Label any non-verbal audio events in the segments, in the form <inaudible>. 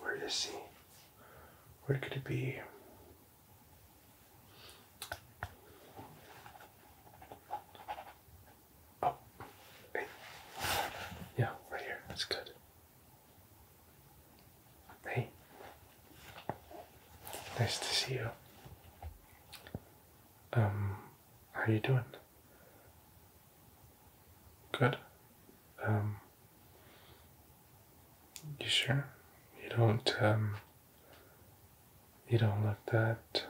Where is he? Where could it be? Oh, hey. yeah, right here. That's good. Hey, nice to see you. Um, how are you doing? Good. Um, you sure? You don't, um, you don't look that,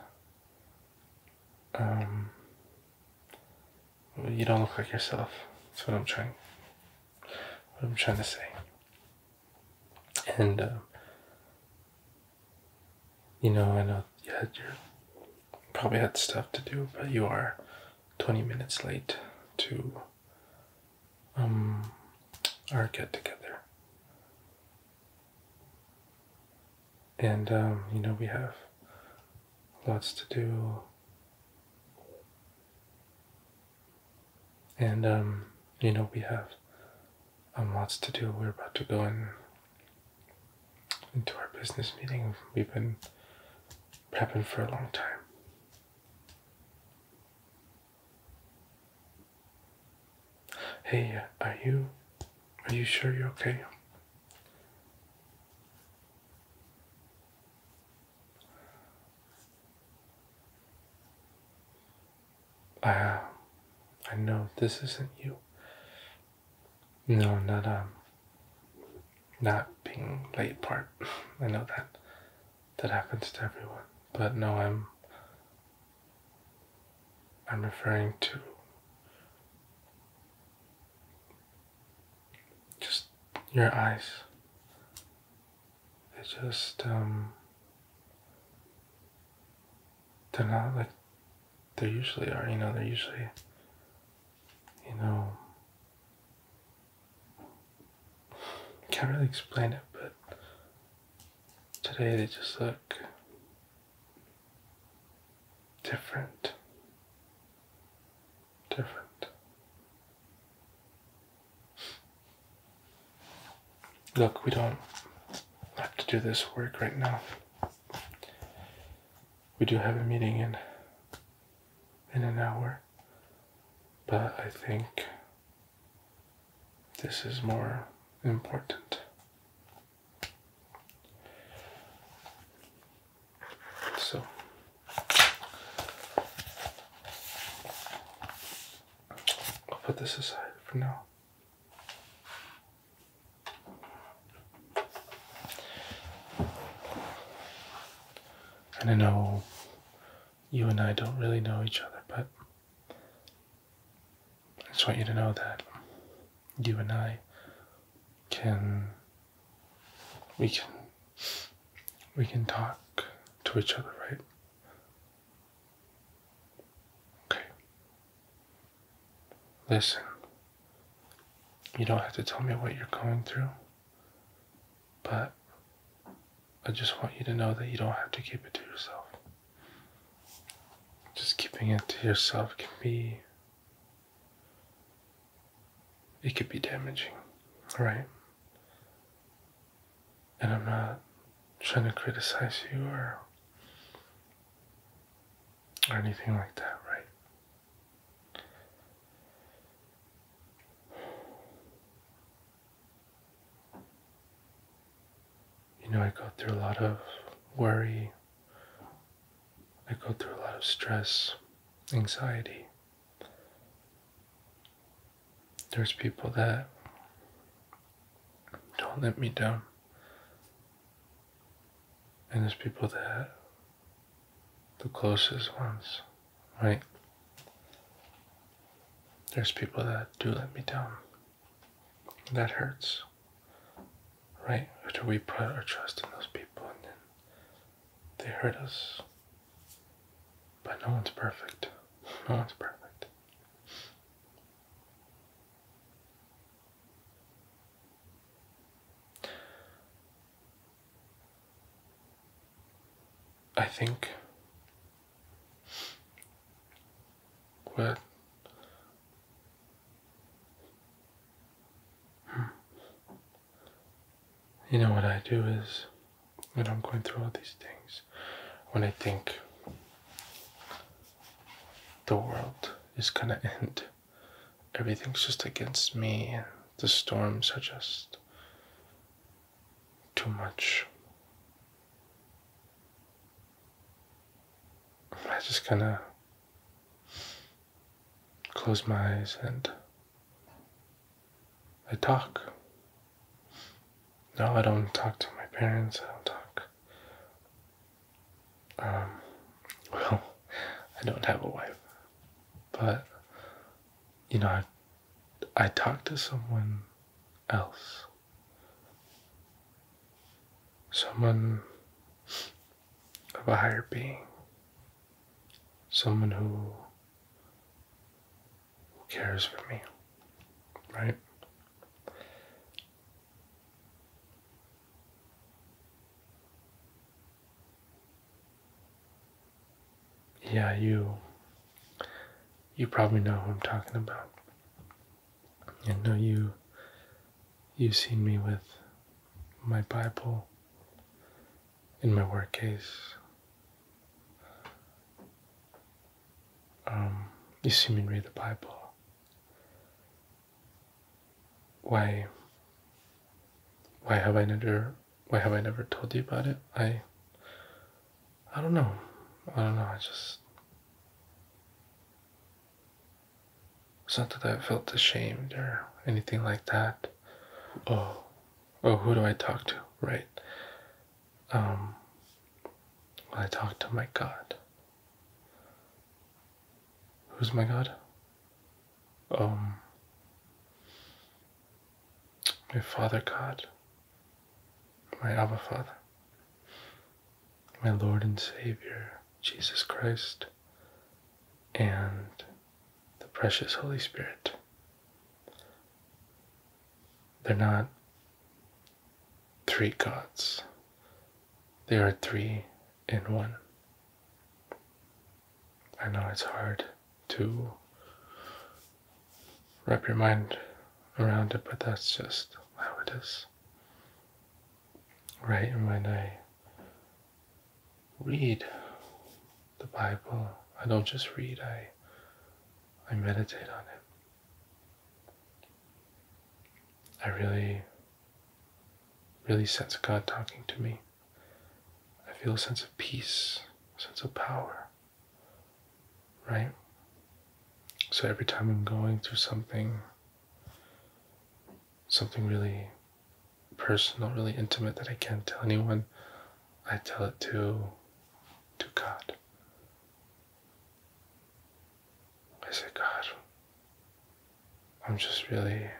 um, you don't look like yourself. That's what I'm trying, what I'm trying to say and uh, you know i know you had your probably had stuff to do but you are 20 minutes late to um, our get together and um, you know we have lots to do and um, you know we have um, lots to do. We're about to go in into our business meeting. We've been prepping for a long time. Hey, uh, are you are you sure you're okay? Uh, I know this isn't you. No, not um, not being late part. <laughs> I know that that happens to everyone, but no, I'm I'm referring to just your eyes. They just um they're not like they usually are. You know, they're usually, you know, can't really explain it, but today they just look different. Different. Look, we don't have to do this work right now. We do have a meeting in in an hour, but I think this is more important. So I'll put this aside for now. And I know you and I don't really know each other, but I just want you to know that you and I can we can we can talk to each other, right? Okay. Listen, you don't have to tell me what you're going through, but I just want you to know that you don't have to keep it to yourself. Just keeping it to yourself can be. It could be damaging, All right. And I'm not trying to criticize you or or anything like that, right? You know, I go through a lot of worry. I go through a lot of stress, anxiety. There's people that don't let me down. And there's people that the closest ones, right? There's people that do let me down. That hurts, right? After we put our trust in those people and then they hurt us. But no one's perfect. No one's perfect. I think what hmm. you know what I do is when I'm going through all these things, when I think the world is gonna end. Everything's just against me, the storms are just too much. I just gonna close my eyes and I talk. No, I don't talk to my parents. I don't talk. Um, <laughs> well, I don't have a wife, but you know, I, I talk to someone else. Someone of a higher being. Someone who, who cares for me, right? Yeah, you you probably know who I'm talking about. I know you you've seen me with my Bible in my work case. Um, you see me read the Bible. Why? Why have I never? Why have I never told you about it? I. I don't know. I don't know. I just. It's not that I felt ashamed or anything like that. Oh, oh, who do I talk to? Right um, when I talk to my God. Who's my God? Um, my Father God, my Abba Father, my Lord and Savior, Jesus Christ, and the precious Holy Spirit. They're not three gods. They are three in one. I know it's hard to wrap your mind around it, but that's just how it is. Right, and when I read the Bible, I don't just read, I I meditate on it. I really, really sense God talking to me. I feel a sense of peace, a sense of power, right? So every time I'm going through something, something really personal, really intimate that I can't tell anyone, I tell it to, to God. I said, God, I'm just really,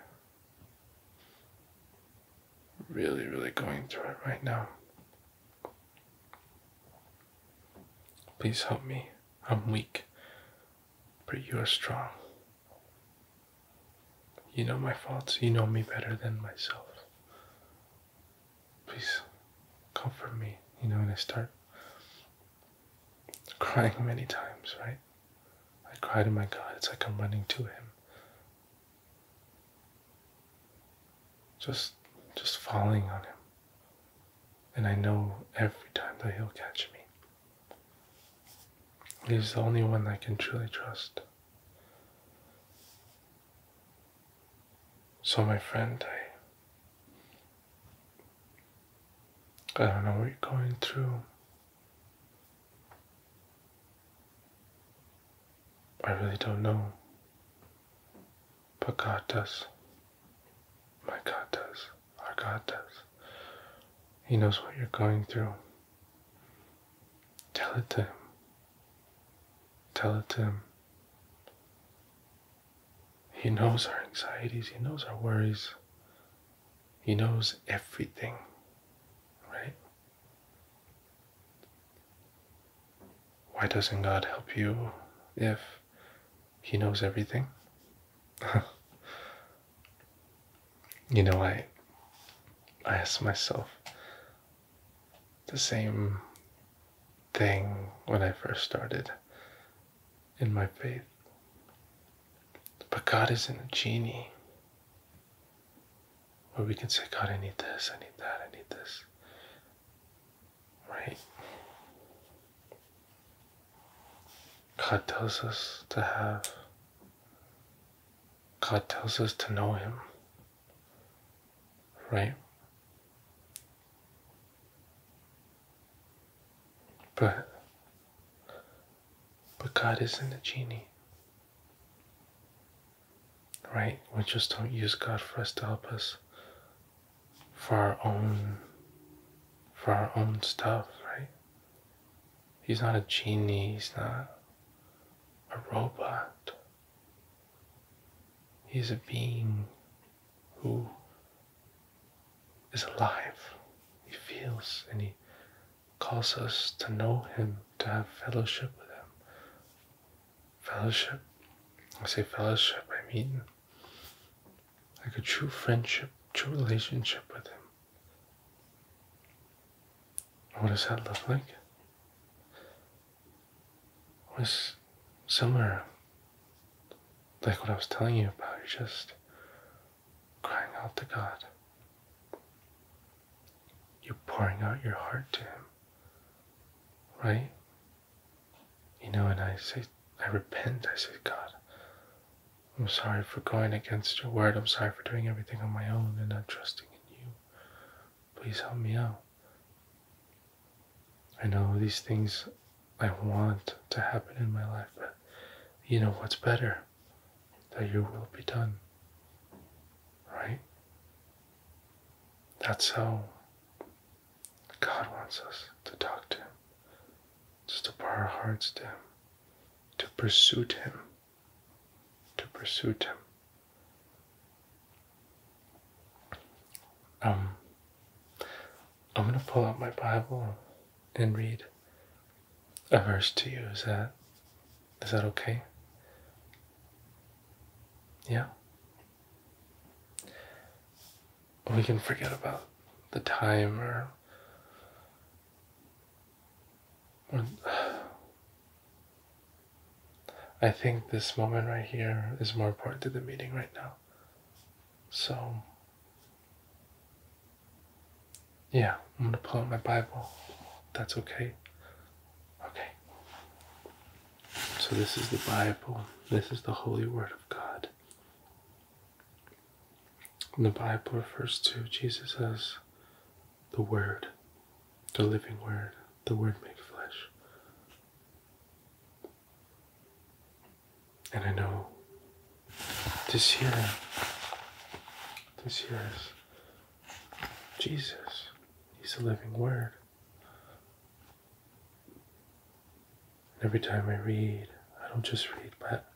really, really going through it right now. Please help me. I'm weak, but you are strong. You know my faults. You know me better than myself please comfort me, you know, and I start crying many times, right? I cry to my God, it's like I'm running to him. Just just falling on him. And I know every time that he'll catch me. He's the only one I can truly trust. So, my friend, I, I don't know what you're going through. I really don't know. But God does. My God does. Our God does. He knows what you're going through. Tell it to Him. Tell it to Him. He knows our anxieties, He knows our worries, He knows everything, right? Why doesn't God help you if He knows everything? <laughs> you know, I, I ask myself, the same thing when I first started in my faith. But God isn't a genie where we can say, God, I need this, I need that, I need this. Right? God tells us to have, God tells us to know Him right? But, but God isn't a genie, right? We just don't use God for us to help us for our own, for our own stuff, right? He's not a genie, he's not a robot. He's a being who is alive. He feels and he calls us to know him, to have fellowship with him. Fellowship, I say fellowship, I mean like a true friendship, true relationship with him. What does that look like? was similar like what I was telling you about. You're just crying out to God. You're pouring out your heart to Him, right? You know, and I say, I repent. I say, God, I'm sorry for going against your word. I'm sorry for doing everything on my own and not trusting in you. Please help me out. I know these things I want to happen in my life, but you know what's better? That your will be done. Right? That's how God wants us to talk to Him, just to pour our hearts to Him, to pursue Him, to pursue Him. Um, I'm going to pull out my Bible and read a verse to you. Is that is that okay? Yeah. We can forget about the time or or I think this moment right here is more important to the meeting right now. So, yeah, I'm gonna pull out my Bible. That's okay. Okay. So, this is the Bible, this is the holy word of God. the Bible refers to Jesus as the Word, the living Word, the Word made flesh. And I know this year, this year is Jesus. He's a living Word. And every time I read, I don't just read, but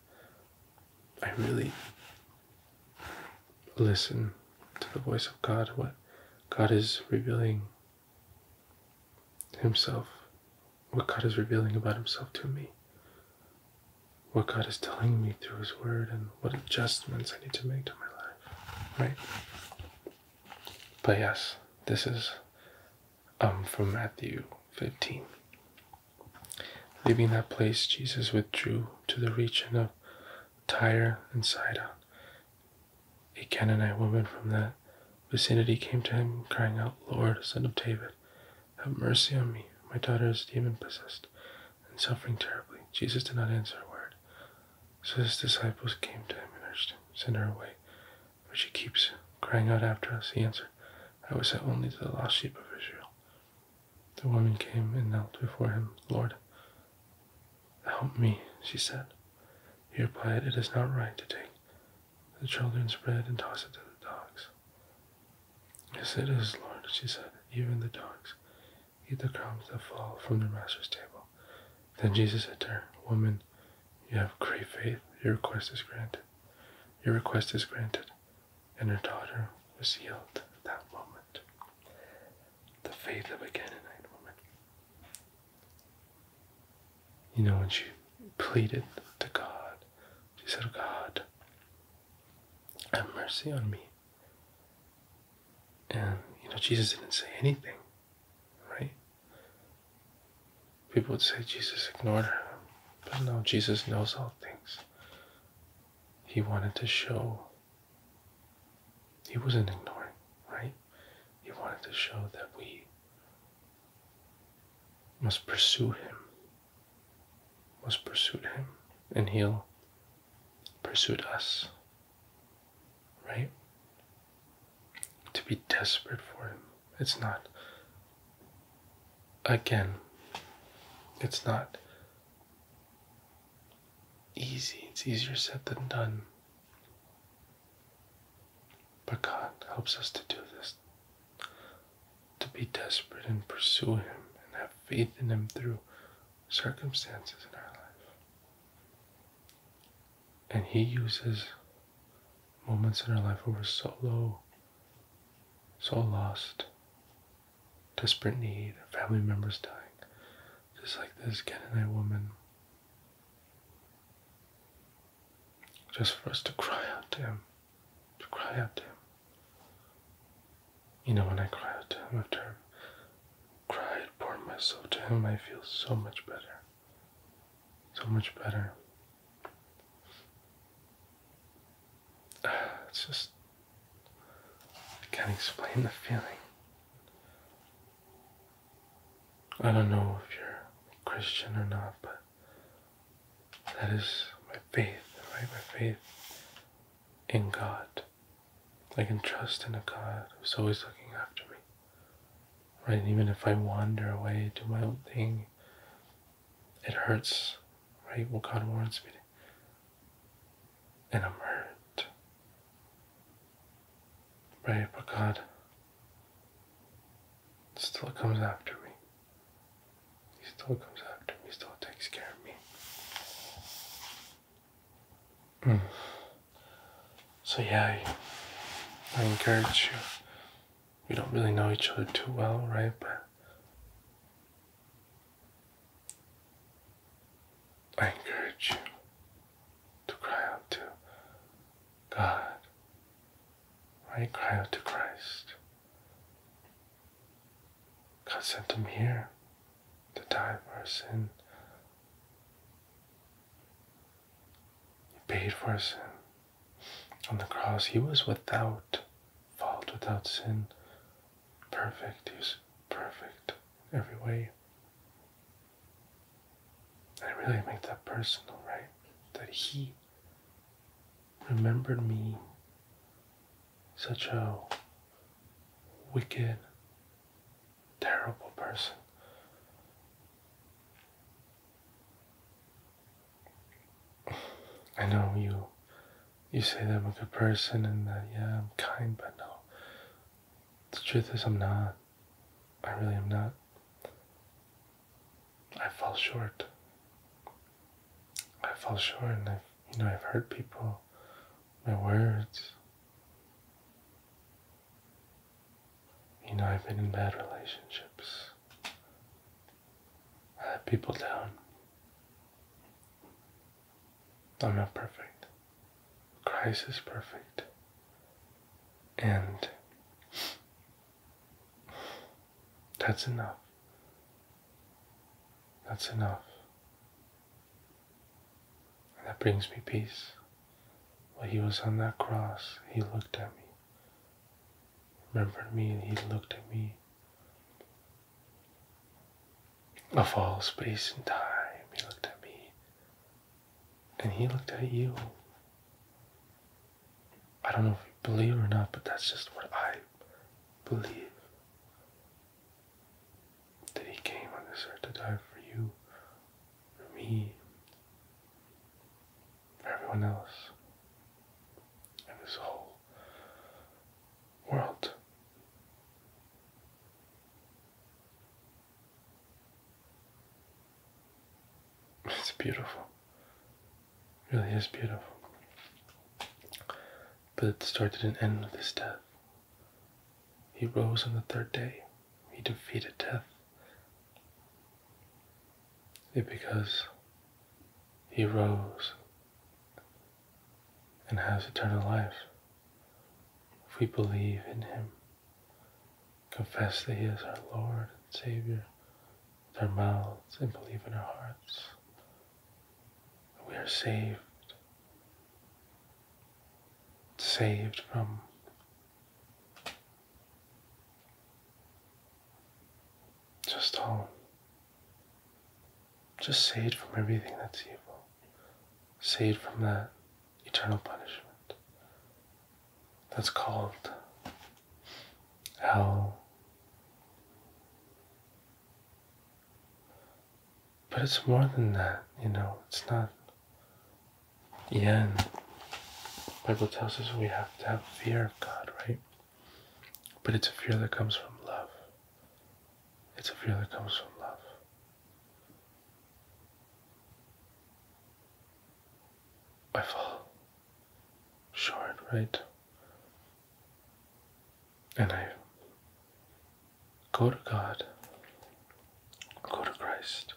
I really listen to the voice of God, what God is revealing Himself, what God is revealing about Himself to me, what God is telling me through His Word, and what adjustments I need to make to my life, right? But yes, this is um, from Matthew 15. Leaving that place, Jesus withdrew to the region of Tyre and Sidon. A Canaanite woman from that vicinity came to him, crying out, Lord, son of David, have mercy on me. My daughter is demon possessed and suffering terribly. Jesus did not answer a word. So his disciples came to him and urged him, to Send her away. But she keeps crying out after us. He answered, I was sent only to the lost sheep of Israel. The woman came and knelt before him, Lord, Help me, she said. Here, Pyatt, it is not right to take the children's bread and toss it to the dogs. Yes, it is, Lord, she said. Even the dogs eat the crumbs that fall from their master's table. Then Jesus said to her, Woman, you have great faith. Your request is granted. Your request is granted. And her daughter was healed at that moment. The faith of a Canaanite woman. You know, when she pleaded to God, she said, God, have mercy on me. And, you know, Jesus didn't say anything, right? People would say Jesus ignored her. But no, Jesus knows all things. He wanted to show he wasn't ignoring, right? He wanted to show that we must pursue him, must pursue him, and he'll pursue us, right? To be desperate for him. It's not, again, it's not easy. It's easier said than done. But God helps us to do this, to be desperate and pursue Him and have faith in Him through circumstances in our life. And He uses moments in our life where we're so low, so lost, desperate need, family members dying, just like this getting Canaanite woman. Just for us to cry out to him, to cry out to him. You know, when I cry out to him after I cried, pour myself to him, I feel so much better. So much better. <sighs> It's just, I can't explain the feeling. I don't know if you're Christian or not, but that is my faith, right? My faith in God. I can trust in a God who's always looking after me, right? And even if I wander away, do my own thing, it hurts, right? Well, God warns me, and I'm hurt. Right, but God still comes after me. He still comes after me, he still takes care of me. Hmm. So, yeah, I encourage you. We don't really know each other too well, right? But I encourage you to cry out to God, you Cry out to Christ. God sent him here to die for our sin. He paid for our sin. On the cross, he was without fault, without sin. Perfect. He was perfect every way. I really make that personal, right? That he remembered me such a wicked, terrible person. I know you you say that I'm a good person and that yeah I'm kind, but no. The truth is I'm not. I really am not. I fall short. I fall short, and I've you know I've hurt people. My words. You know I've been in bad relationships. I have had people down. I'm not perfect. Christ is perfect. And that's enough. That's enough. that brings me peace. When he was on that cross, he looked at me, remembered me, and he looked at me. Of all space and time, he looked at me and he looked at you. I don't know if you believe or not, but that's just what I believe. That he came on this earth to die for you, for me, for everyone else, in this whole world. It's beautiful. really is beautiful. But it started and ended with his death. He rose on the third day. He defeated death. It because he rose and has eternal life if we believe in him confess that He is our Lord and Savior with our mouths and believe in our hearts we are saved, saved from just all, just saved from everything that's evil, saved from that eternal punishment. That's called hell. But it's more than that, you know, it's not the end. Bible tells us we have to have fear of God, right? But it's a fear that comes from love. It's a fear that comes from love. I fall short, right? And I go to God, go to Christ.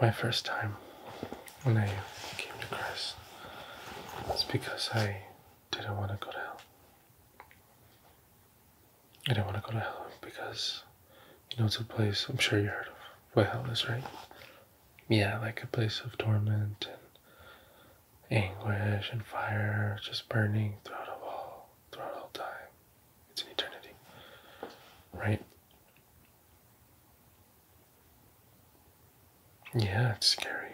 My first time when I came to Christ was because I didn't want to go to hell. I didn't want to go to hell because, you know, it's a place, I'm sure you heard of what hell is, right? Yeah, like a place of torment and anguish and fire just burning throughout all, throughout all time. It's an eternity, right? Yeah, it's scary.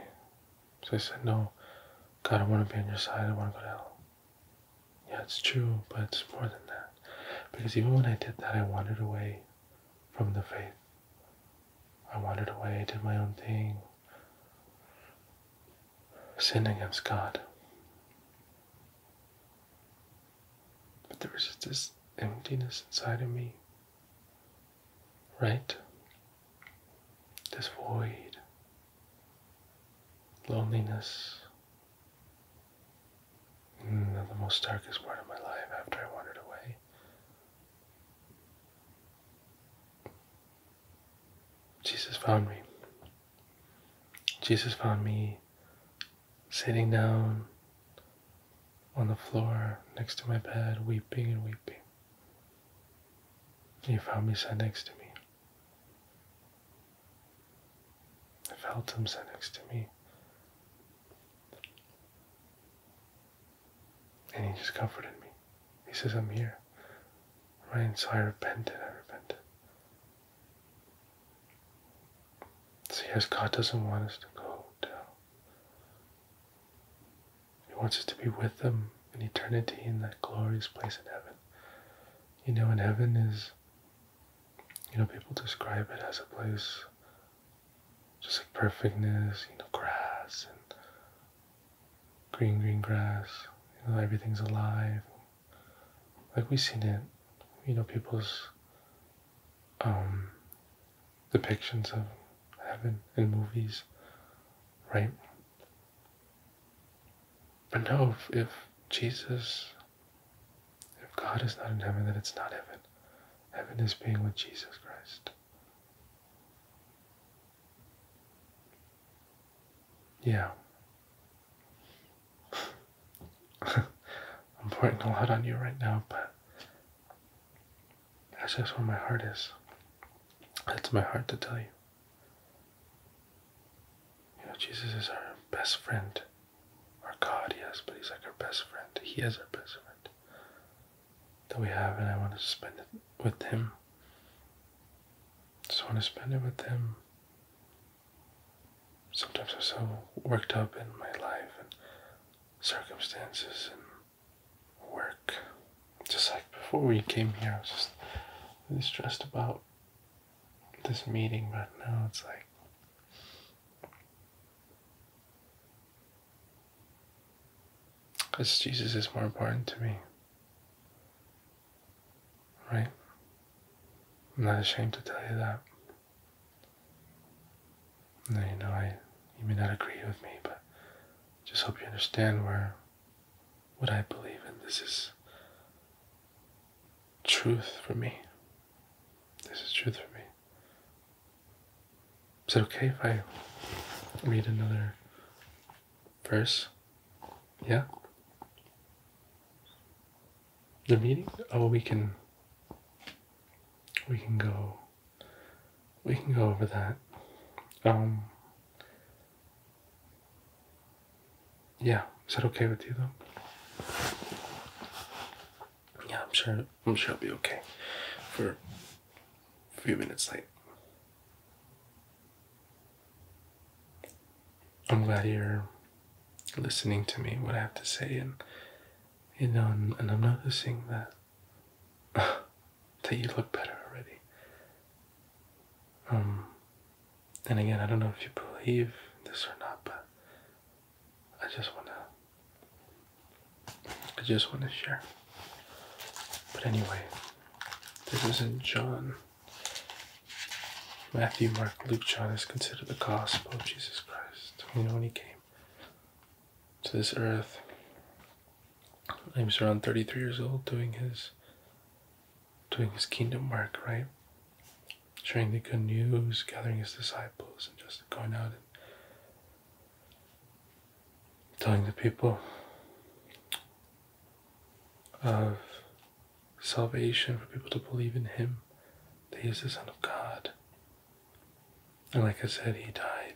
So I said, No, God, I want to be on your side. I want to go to hell. Yeah, it's true, but it's more than that. Because even when I did that, I wandered away from the faith. I wandered away, did my own thing, sinned against God. But there was just this emptiness inside of me right? This void, loneliness, mm, the most darkest part of my life after I wandered away. Jesus found me. Jesus found me sitting down on the floor next to my bed, weeping and weeping. He found me sat next to me. I felt him sat next to me. And he just comforted me. He says, I'm here. Right? so I repented. I repented. See, as God doesn't want us to go down, he wants us to be with Him in eternity in that glorious place in heaven. You know, in heaven is, you know, people describe it as a place just like perfectness, you know, grass and green, green grass. You know, everything's alive. Like we've seen it, you know, people's um, depictions of heaven in movies, right? But no, if, Jesus, if God is not in heaven, then it's not heaven. Heaven is being with Jesus Christ. Yeah. <laughs> I'm pointing a lot on you right now, but that's just where my heart is. That's my heart to tell you. You know, Jesus is our best friend. Our God, yes, but He's like our best friend. He is our best friend that we have, and I want to spend it with Him. Just want to spend it with Him. Sometimes I'm so worked up in my life and circumstances and work. Just like before we came here, I was just really stressed about this meeting, but now it's like. Because Jesus is more important to me. Right? I'm not ashamed to tell you that. Now you know I you may not agree with me, but just hope you understand where what I believe in. This is truth for me. This is truth for me. Is it okay if I read another verse? Yeah? The meeting? Oh, we can. We can go we can go over that. Um, yeah, is that okay with you though? Yeah, I'm sure. I'm sure I'll be okay for a few minutes late. I'm glad you're listening to me, what I have to say, and you know, and I'm noticing that <sighs> that you look better already. Um, and again, I don't know if you believe this or not, but I just wanna, I just wanna share. But anyway, this isn't John. Matthew, Mark, Luke, John is considered the gospel of Jesus Christ. You know when he came to this earth, He's around 33 years old doing his doing his kingdom work, right? Sharing the good news, gathering his disciples, and just going out and telling the people of salvation for people to believe in him that he is the Son of God. And like I said, he died.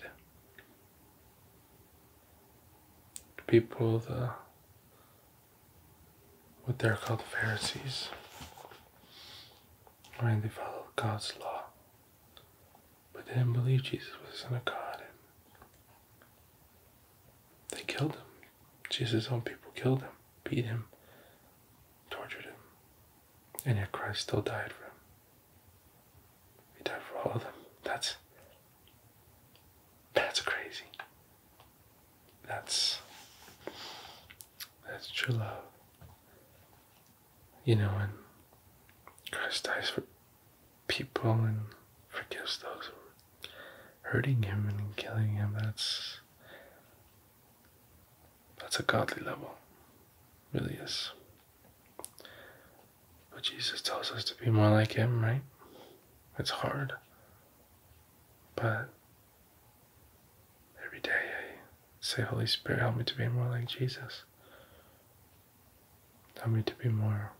The People, the what they're called the Pharisees, right? They followed God's law, but they didn't believe Jesus was the Son of God. they killed him. Jesus' own people killed him, beat him, tortured him, and yet Christ still died for him. We died for all of them. That's that's crazy. That's that's true love. You know, and Christ dies for people and forgives those hurting him and killing him. That's that's a godly level. Really is. But Jesus tells us to be more like Him, right? It's hard. But every day I say, Holy Spirit, help me to be more like Jesus. Help me to be more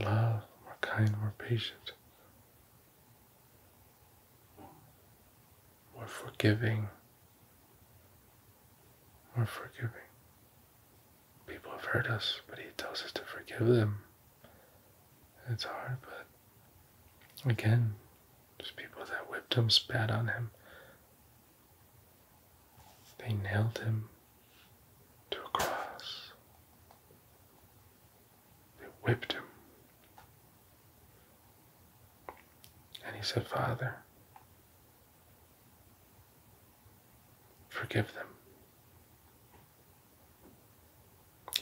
love, more kind, more patient, more forgiving, more forgiving. People have hurt us, but He tells us to forgive them. it's hard, but again, there's people that whipped him, spat on him. They nailed him to a cross. They whipped him. And he said, Father, Forgive them.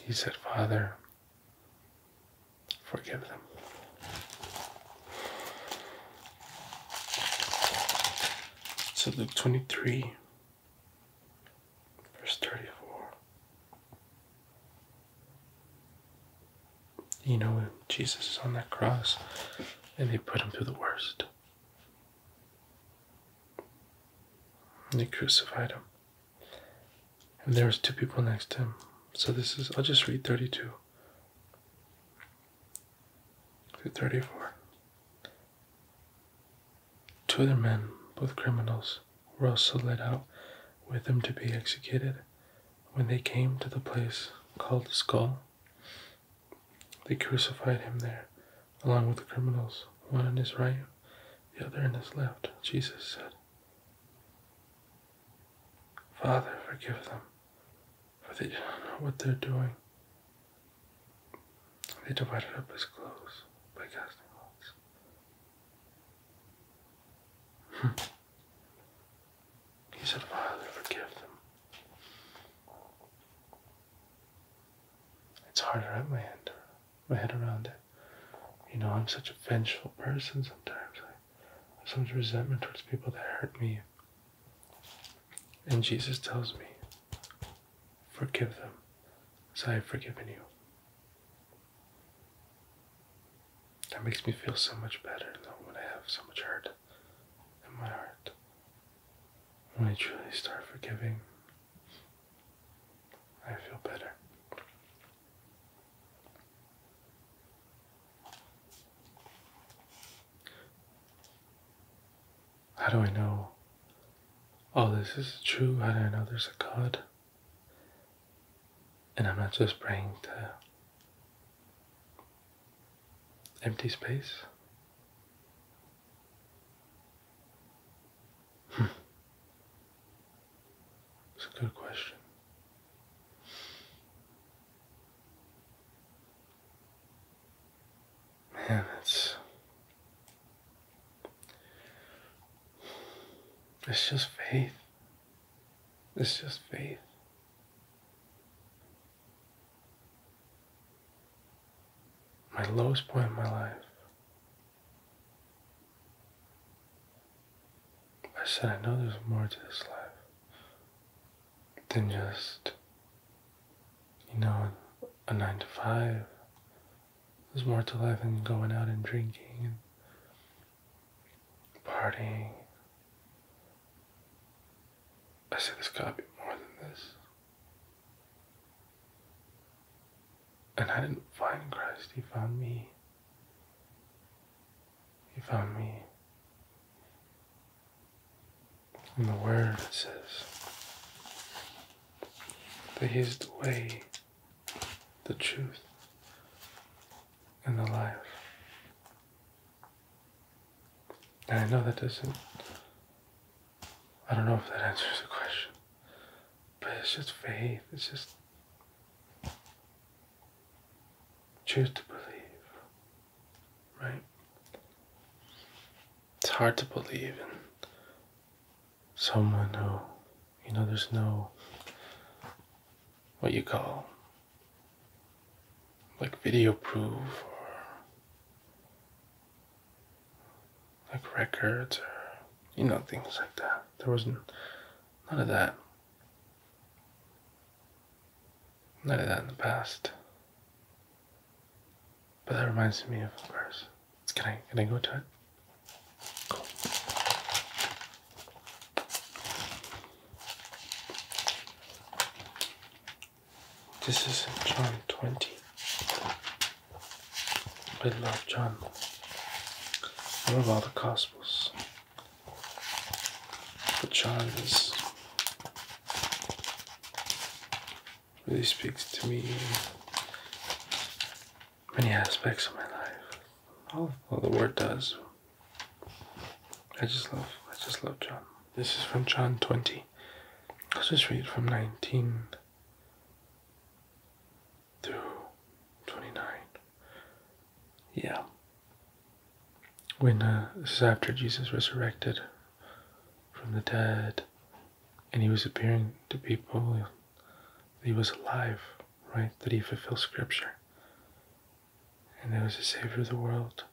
He said, Father, forgive them. So Luke 23, verse 34. You know, Jesus is on that cross and they put him through the worst. And they crucified him. And there was two people next to him. So this is I'll just read 32 through 34. Two other men, both criminals, were also led out with him to be executed. When they came to the place called the skull, they crucified him there, along with the criminals, one on his right, the other on his left. Jesus said, Father, forgive them, for they do not know what they're doing. They divided up his clothes by casting lots. Hmm. He said, Father, forgive them. It's hard to wrap my head, my head around it. You know, I'm such a vengeful person sometimes. I have so much resentment towards people that hurt me. And Jesus tells me, forgive them as I have forgiven you. That makes me feel so much better though when I have so much hurt heart my heart when I truly start forgiving. I feel better. How do I know all oh, this is true? How do I know there's a God? And I'm not just praying to empty space. Hmm. It's a good question. Man, it's it's just faith. It's just faith. My lowest point in my life. I said, I know there's more to this life than just, you know, a nine to five. There's more to life than going out and drinking and partying I said this gotta be more than this. And I didn't find Christ, He found me. He found me. In the Word, it says that He is the way, the truth, and the life. I know that doesn't. I don't know if that answers the question. But it's just faith. It's just. Choose to believe. Right? It's hard to believe in someone who, you know, there's no. what you call like video proof or like records or you know things like that there was not none of that none of that in the past but that reminds me of of course can i can i go to it cool this is John 20. I love John. I love all the Gospels. But John is, really speaks to me in many aspects of my life. All, the Word does. I just love, I just love John. This is from John 20. I'll just read from 19 through 29. Yeah. When, uh, this is after Jesus resurrected from the dead and he was appearing to people that he was alive, right? That he fulfilled scripture and there was a Savior of the world.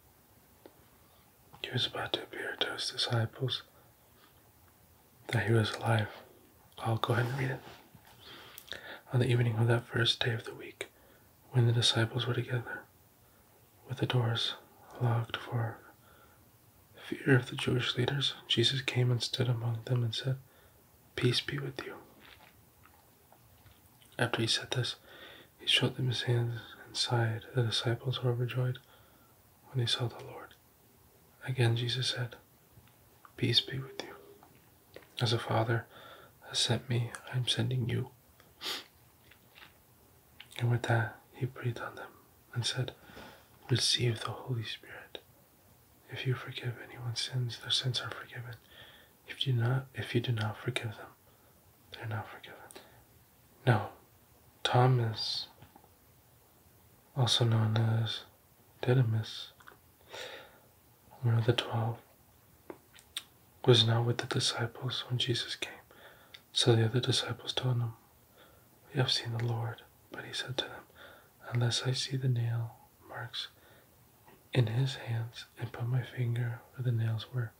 He was about to appear to his disciples that he was alive. I'll go ahead and read it. On the evening of that first day of the week, when the disciples were together, with the doors locked for fear of the Jewish leaders, Jesus came and stood among them and said, Peace be with you. After he said this, he showed them his hands and sighed. The disciples were overjoyed when they saw the Lord. Again, Jesus said, Peace be with you. As a Father has sent me, I am sending you. And with that, he breathed on them and said, Receive the Holy Spirit. If you forgive anyone's sins, their sins are forgiven. If you do not, if you do not forgive them, they're not forgiven. No, Thomas, also known as Didymus, one of the twelve, was not with the disciples when Jesus came. So the other disciples told him, We have seen the Lord. But he said to them, Unless I see the nail marks in his hands and put my finger where the nails were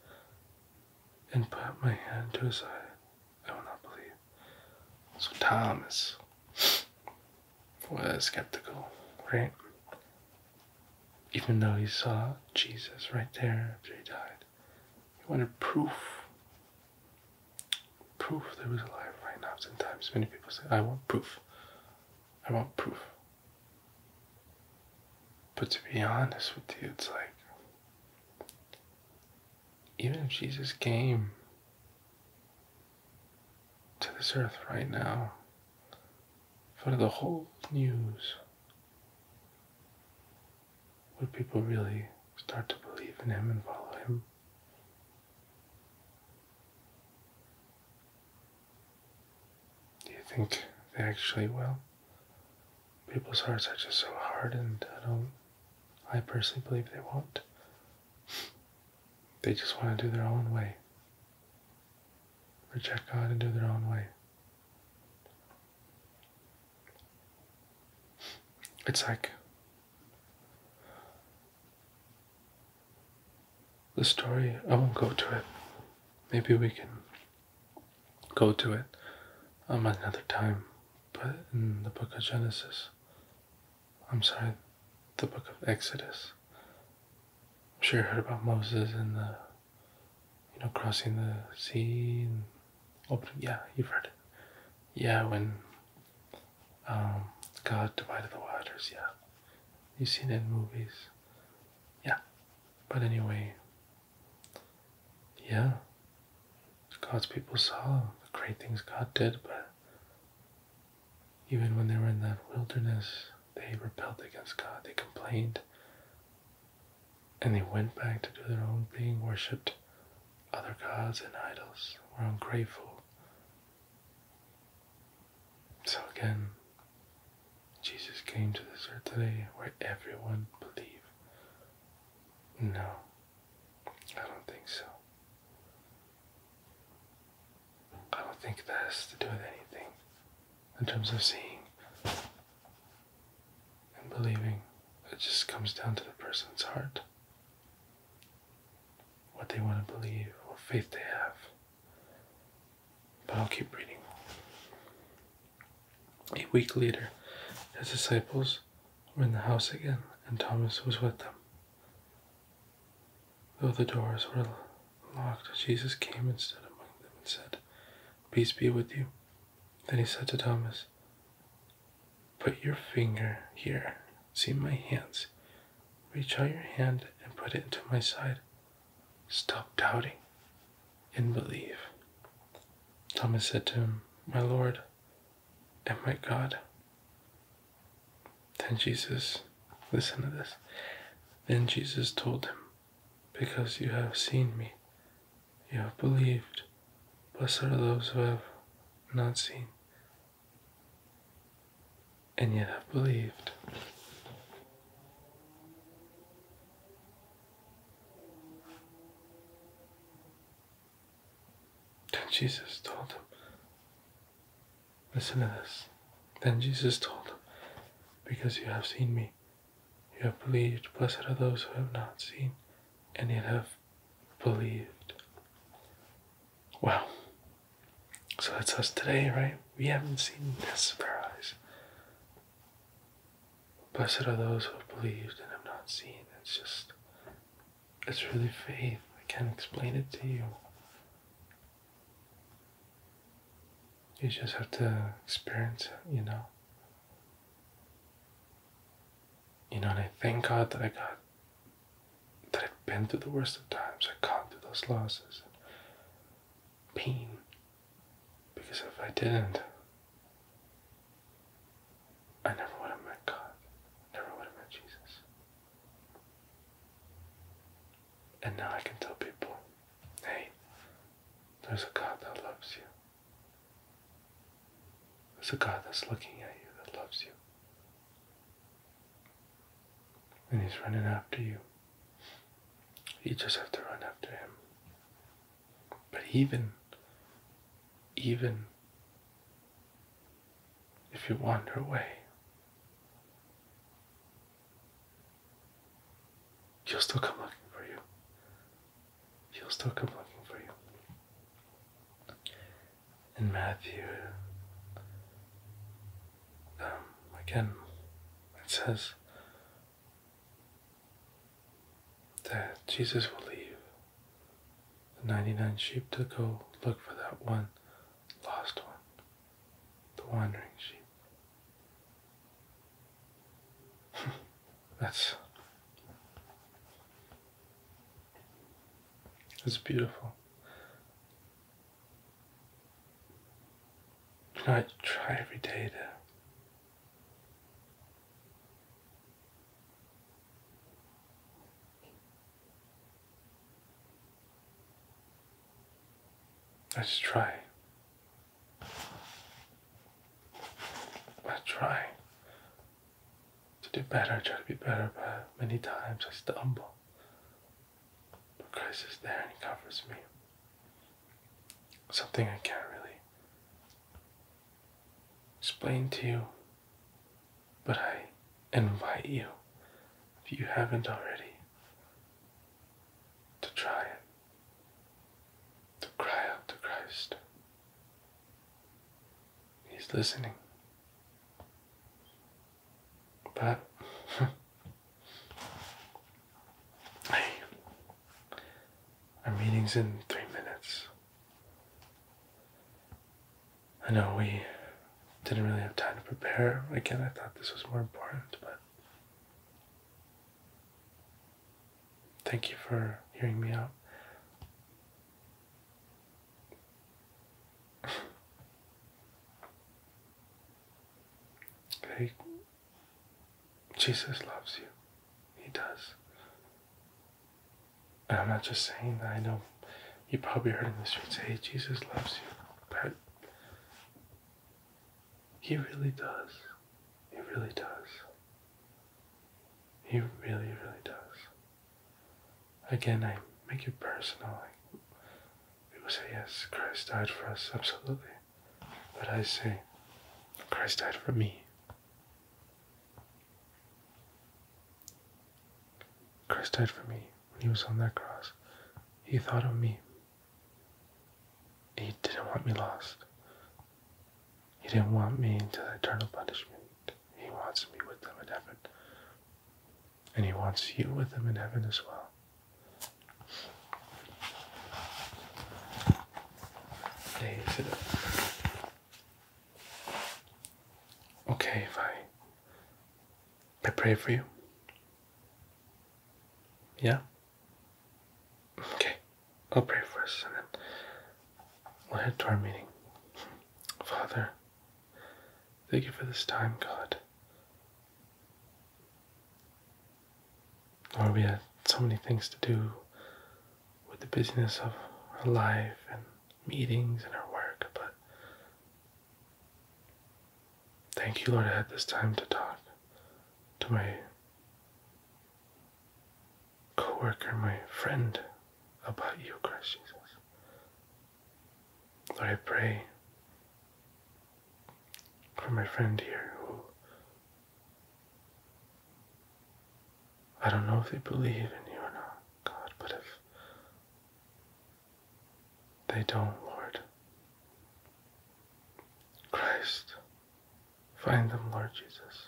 and put my hand to his side. I will not believe. So Thomas was skeptical, right? Even though he saw Jesus right there after he died, he wanted proof. Proof that he was alive right now. Sometimes many people say, I want proof. I want proof. But to be honest with you, it's like, even if Jesus came to this earth right now for the whole news, would people really start to believe in him and follow him? Do you think they actually will? People's hearts are just so hardened. I don't. I personally believe they won't. They just want to do their own way. Reject God and do their own way. It's like the story. I won't go to it. Maybe we can go to it um, another time. But in the book of Genesis, I'm sorry, the book of Exodus. I'm sure you heard about Moses and the, you know, crossing the sea and opening. Yeah, you've heard it. Yeah, when um, God divided the waters. Yeah, you've seen it in movies yeah. But anyway, yeah, God's people saw the great things God did, but even when they were in that wilderness, they rebelled against God, they complained, and they went back to do their own thing, worshipped other gods and idols, were ungrateful. So again, Jesus came to this earth today where everyone believe. No, I don't think so. I don't think that has to do with anything in terms of seeing and believing. It just comes down to the person's heart, what they want to believe, what faith they have. But I'll keep reading. A week later, his disciples were in the house again, and Thomas was with them. Though the doors were locked, Jesus came and stood among them and said, Peace be with you. Then he said to Thomas, Put your finger here, see my hands. Reach out your hand and put it into my side. Stop doubting and believe. Thomas said to him, My Lord and my God. Then Jesus, listen to this. Then Jesus told him, Because you have seen me, you have believed. Blessed are those who have not seen and yet have believed. Then Jesus told him, Listen to this. Then Jesus told him, Because you have seen me, you have believed. Blessed are those who have not seen and yet have believed. Wow. So it's us today, right? We haven't seen this with our eyes. Blessed are those who have believed and have not seen. It's just, it's really faith. I can't explain it to you. You just have to experience it, you know. You know, and I thank God that I got, that I've been through the worst of times. I caught through those losses pain because if I didn't, I never would have met God, never would have met Jesus. And now I can tell people, hey, there's a God that loves you. There's a God that's looking at you, that loves you. And he's running after you. You just have to run after him. But even, even if you wander away, he'll still come looking for you. He'll still come looking for you. In Matthew, um, again, it says, that Jesus will leave the 99 sheep to go look for that one lost one, the wandering sheep. <laughs> that's that's beautiful. I try every day to I just try. I try to do better, try to be better, but many times I stumble. But Christ is there and He covers me something I can't really explain to you, but I invite you, if you haven't already, to try it, to cry out to Christ. He's listening. But <laughs> our meeting's in three minutes. I know we didn't really have time to prepare. Again, I thought this was more important, but thank you for hearing me out. <laughs> Hey, Jesus loves you. He does. And I'm not just saying that. I know you probably heard in the streets, hey, Jesus loves you. But he really does. He really does. He really, really does. Again, I make it personal. Like, people say, yes, Christ died for us. Absolutely. But I say, Christ died for me. Christ died for me when he was on that cross. He thought of me. He didn't want me lost. He didn't want me into eternal punishment. He wants me with him in heaven. And he wants you with him in heaven as well. Hey, sit up. Okay, if I pray for you. Yeah? Okay, I'll pray for us and then we'll head to our meeting. Father, thank you for this time, God. Or we had so many things to do with the business of our life and meetings and our work, but thank you, Lord, I had this time to talk to my coworker, my friend, about you, Christ Jesus. Lord, I pray for my friend here who I don't know if they believe in you or not, God, but if they don't, Lord, Christ, find them, Lord Jesus.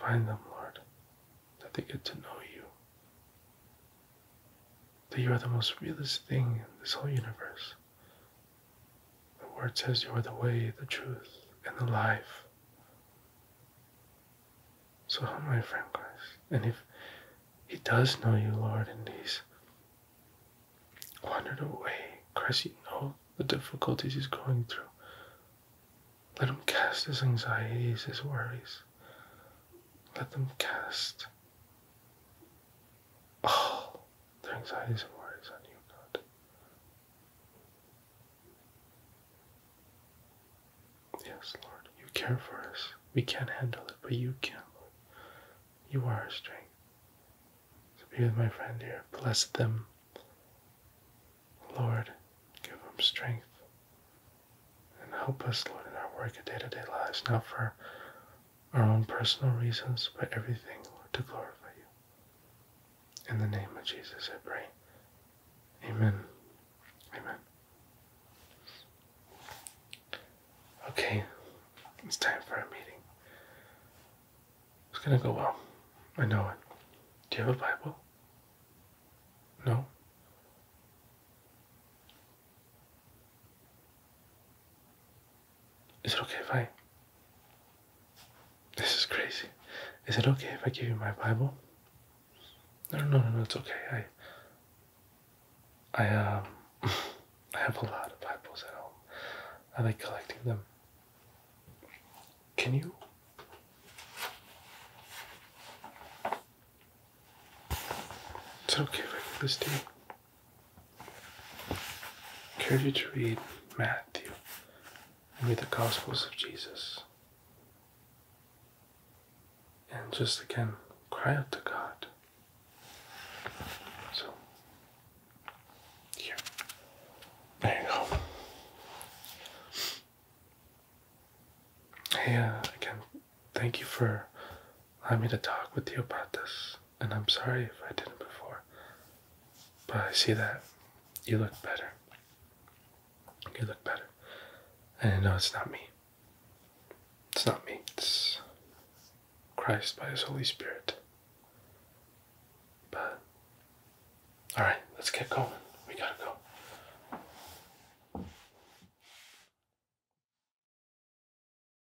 Find them, Lord, that they get to know you. That you are the most realest thing in this whole universe. The word says you are the way, the truth, and the life. So humble your friend Christ. And if he does know you, Lord, and he's wandered away, Christ, you know the difficulties he's going through. Let him cast his anxieties, his worries. Let them cast all their anxieties and worries on you, God. Yes, Lord, you care for us. We can't handle it, but you can, You are our strength. So be with my friend here. Bless them. Lord, give them strength. And help us, Lord, in our work of day to day lives, Now for our own personal reasons, but everything, to glorify you. In the name of Jesus, I pray. Amen. Amen. Okay, it's time for a meeting. It's gonna go well. I know it. Do you have a Bible? No? Is it okay if I. This is crazy. Is it okay if I give you my Bible? No, no, no, no it's okay. I. I, um. <laughs> I have a lot of Bibles at home. I like collecting them. Can you. It's okay if I give this to you encourage you to read Matthew and read the Gospels of Jesus. And just again, cry out to God. So, here. There you go. Hey, uh, again, thank you for allow me to talk with you about this, and I'm sorry if I didn't before. But I see that you look better. You look better. And no, it's not me. It's not me. It's Christ by His Holy Spirit. But, alright, let's get going. We gotta go.